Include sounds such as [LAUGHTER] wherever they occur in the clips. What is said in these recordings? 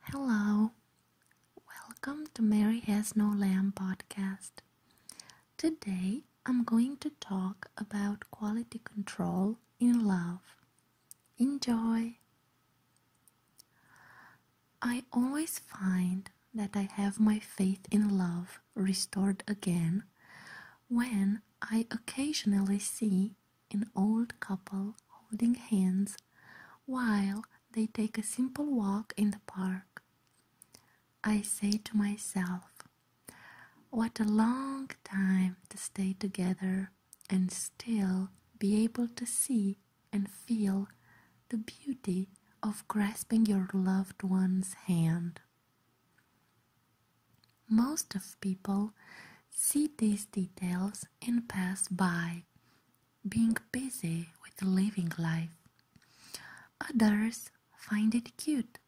Hello, welcome to Mary Has No Lamb podcast. Today I'm going to talk about quality control in love. Enjoy! I always find that I have my faith in love restored again when I occasionally see an old couple holding hands while they take a simple walk in the park. I say to myself, what a long time to stay together and still be able to see and feel the beauty of grasping your loved one's hand. Most of people see these details and pass by, being busy with living life. Others find it cute,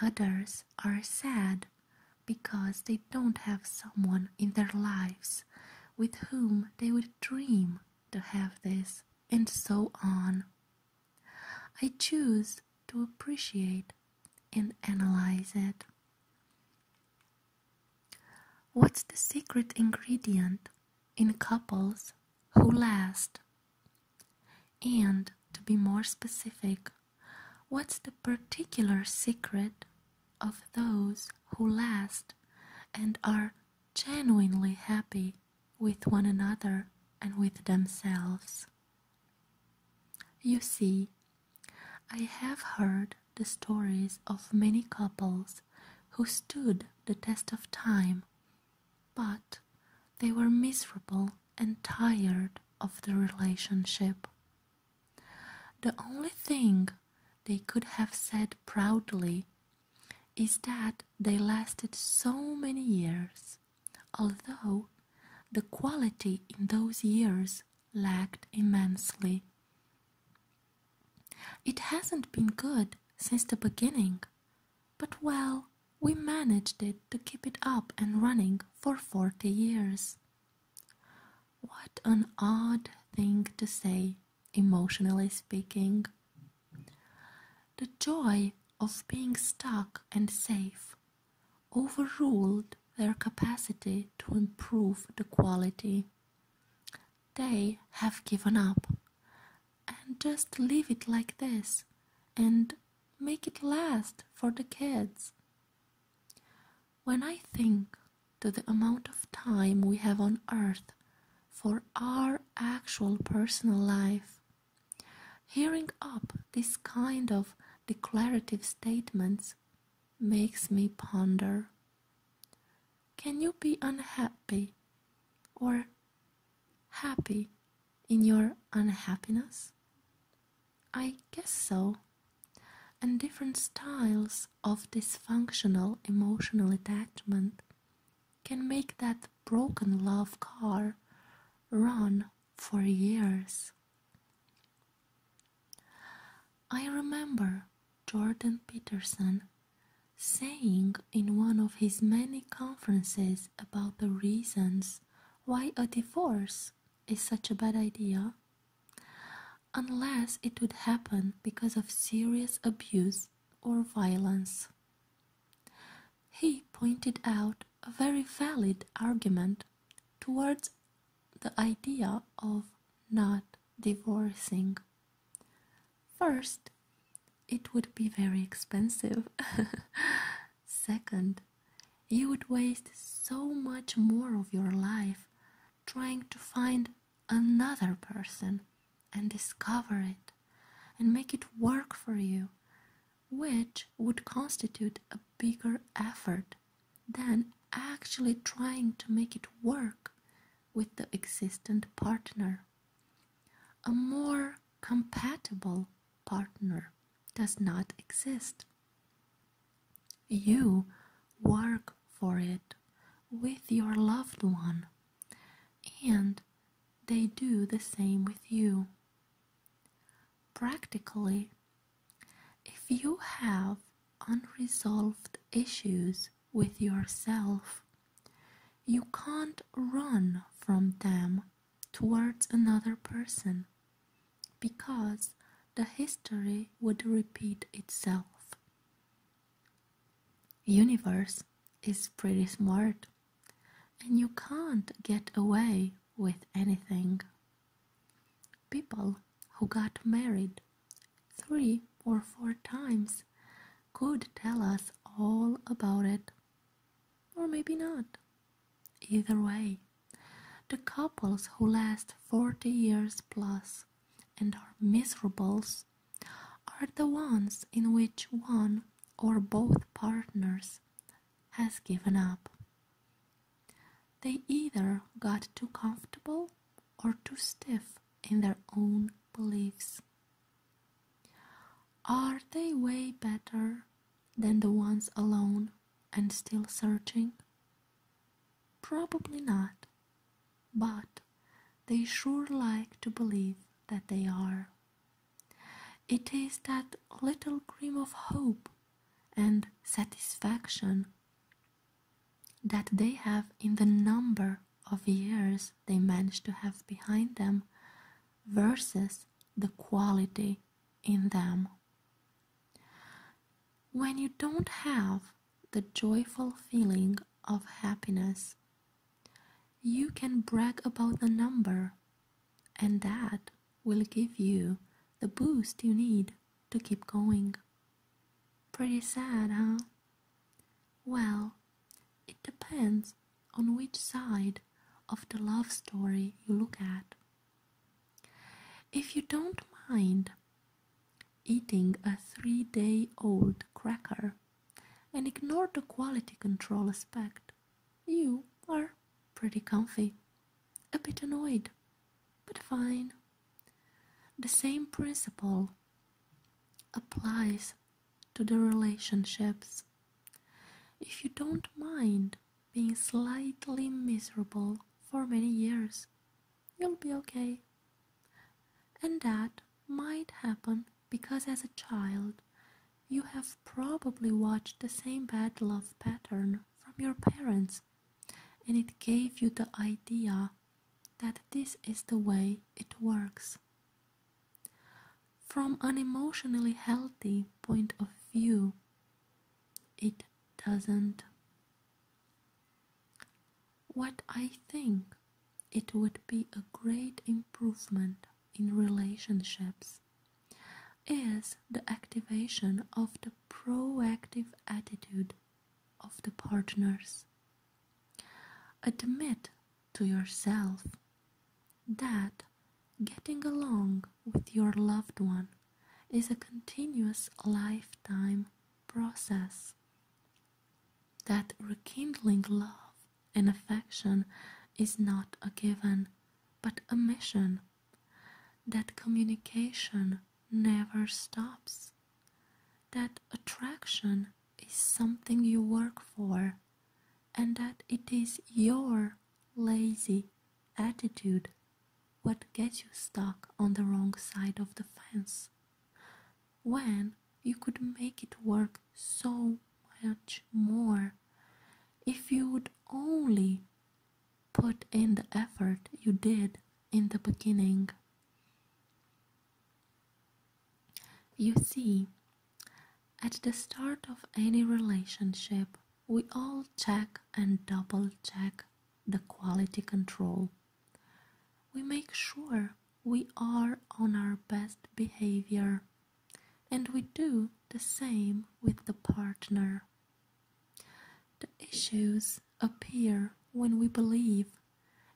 others are sad because they don't have someone in their lives with whom they would dream to have this, and so on. I choose to appreciate and analyze it. What's the secret ingredient in couples who last? And to be more specific, what's the particular secret of those who last and are genuinely happy with one another and with themselves? You see, I have heard the stories of many couples who stood the test of time, but they were miserable and tired of the relationship. The only thing they could have said proudly is that they lasted so many years although the quality in those years lagged immensely. It hasn't been good since the beginning, but well, we managed it to keep it up and running for 40 years. What an odd thing to say, emotionally speaking. The joy of being stuck and safe overruled their capacity to improve the quality. They have given up. And just leave it like this and make it last for the kids. When I think to the amount of time we have on earth for our actual personal life, Hearing up this kind of declarative statements makes me ponder Can you be unhappy or happy in your unhappiness? I guess so. And different styles of dysfunctional emotional attachment can make that broken love car run for years. I remember Jordan Peterson saying in one of his many conferences about the reasons why a divorce is such a bad idea, unless it would happen because of serious abuse or violence he pointed out a very valid argument towards the idea of not divorcing. First, it would be very expensive. [LAUGHS] Second, you would waste so much more of your life trying to find another person and discover it and make it work for you, which would constitute a bigger effort than actually trying to make it work with the existent partner. A more compatible partner does not exist. You work for it with your loved one and they do the same with you. Practically, if you have unresolved issues with yourself, you can't run from them towards another person because the history would repeat itself universe is pretty smart and you can't get away with anything. People who got married three or four times could tell us all about it, or maybe not. Either way, the couples who last 40 years plus and are miserables are the ones in which one or both partners has given up. They either got too comfortable or too stiff in their own beliefs. Are they way better than the ones alone and still searching? Probably not but they sure like to believe that they are. It is that little gleam of hope and satisfaction that they have in the number of years they manage to have behind them versus the quality in them. When you don't have the joyful feeling of happiness. You can brag about the number, and that will give you the boost you need to keep going. Pretty sad, huh? Well, it depends on which side of the love story you look at. If you don't mind, eating a three day old cracker and ignore the quality control aspect, you are pretty comfy. A bit annoyed, but fine. The same principle applies to the relationships. If you don't mind being slightly miserable for many years, You'll be okay. And that might happen because as a child, you have probably watched the same bad love pattern from your parents, and it gave you the idea that this is the way it works. From an emotionally healthy point of view, it doesn't. What I think it would be a great improvement in relationships is the activation of the proactive attitude of the partners. Admit to yourself that getting along with your loved one is a continuous lifetime process. That rekindling love and affection is not a given, but a mission. That communication never stops. That attraction is something you work for, and that it is your lazy attitude what gets you stuck on the wrong side of the fence when you could make it work so much more if you would only put in the effort you did in the beginning. You see, at the start of any relationship, we all check and double check the quality control. We make sure we are on our best behavior, and we do the same with the partner. The issues appear when we believe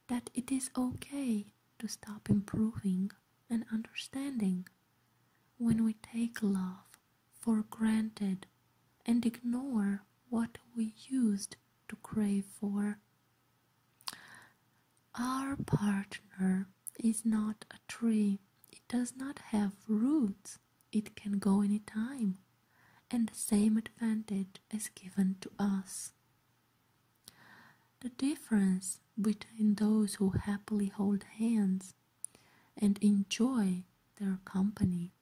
that it is okay to stop improving and understanding, when we take love for granted and ignore what we used to crave for. Our partner is not a tree, it does not have roots, it can go any time, and the same advantage is given to us. The difference between those who happily hold hands and enjoy their company.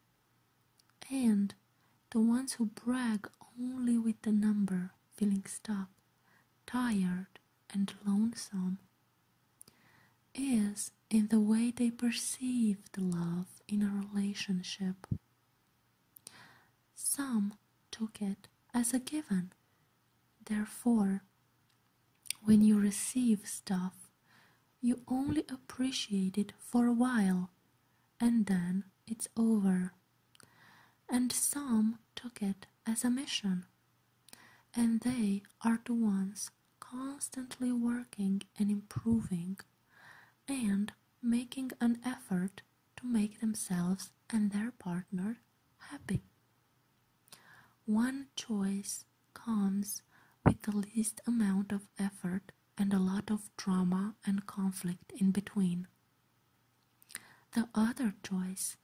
And the ones who brag only with the number, feeling stuck, tired, and lonesome, is in the way they perceive the love in a relationship. Some took it as a given. Therefore, when you receive stuff, you only appreciate it for a while and then it's over. And some took it as a mission, and they are the ones constantly working and improving and making an effort to make themselves and their partner happy. One choice comes with the least amount of effort and a lot of drama and conflict in between. The other choice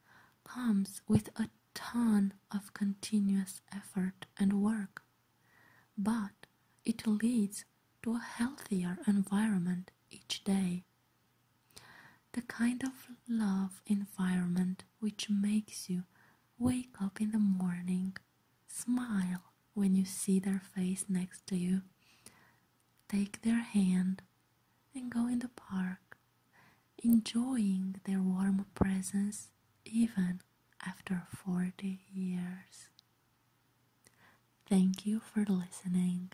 comes with a ton of continuous effort and work, but it leads to a healthier environment each day the kind of love environment which makes you wake up in the morning, smile when you see their face next to you, take their hand and go in the park, enjoying their warm presence even after 40 years. Thank you for listening.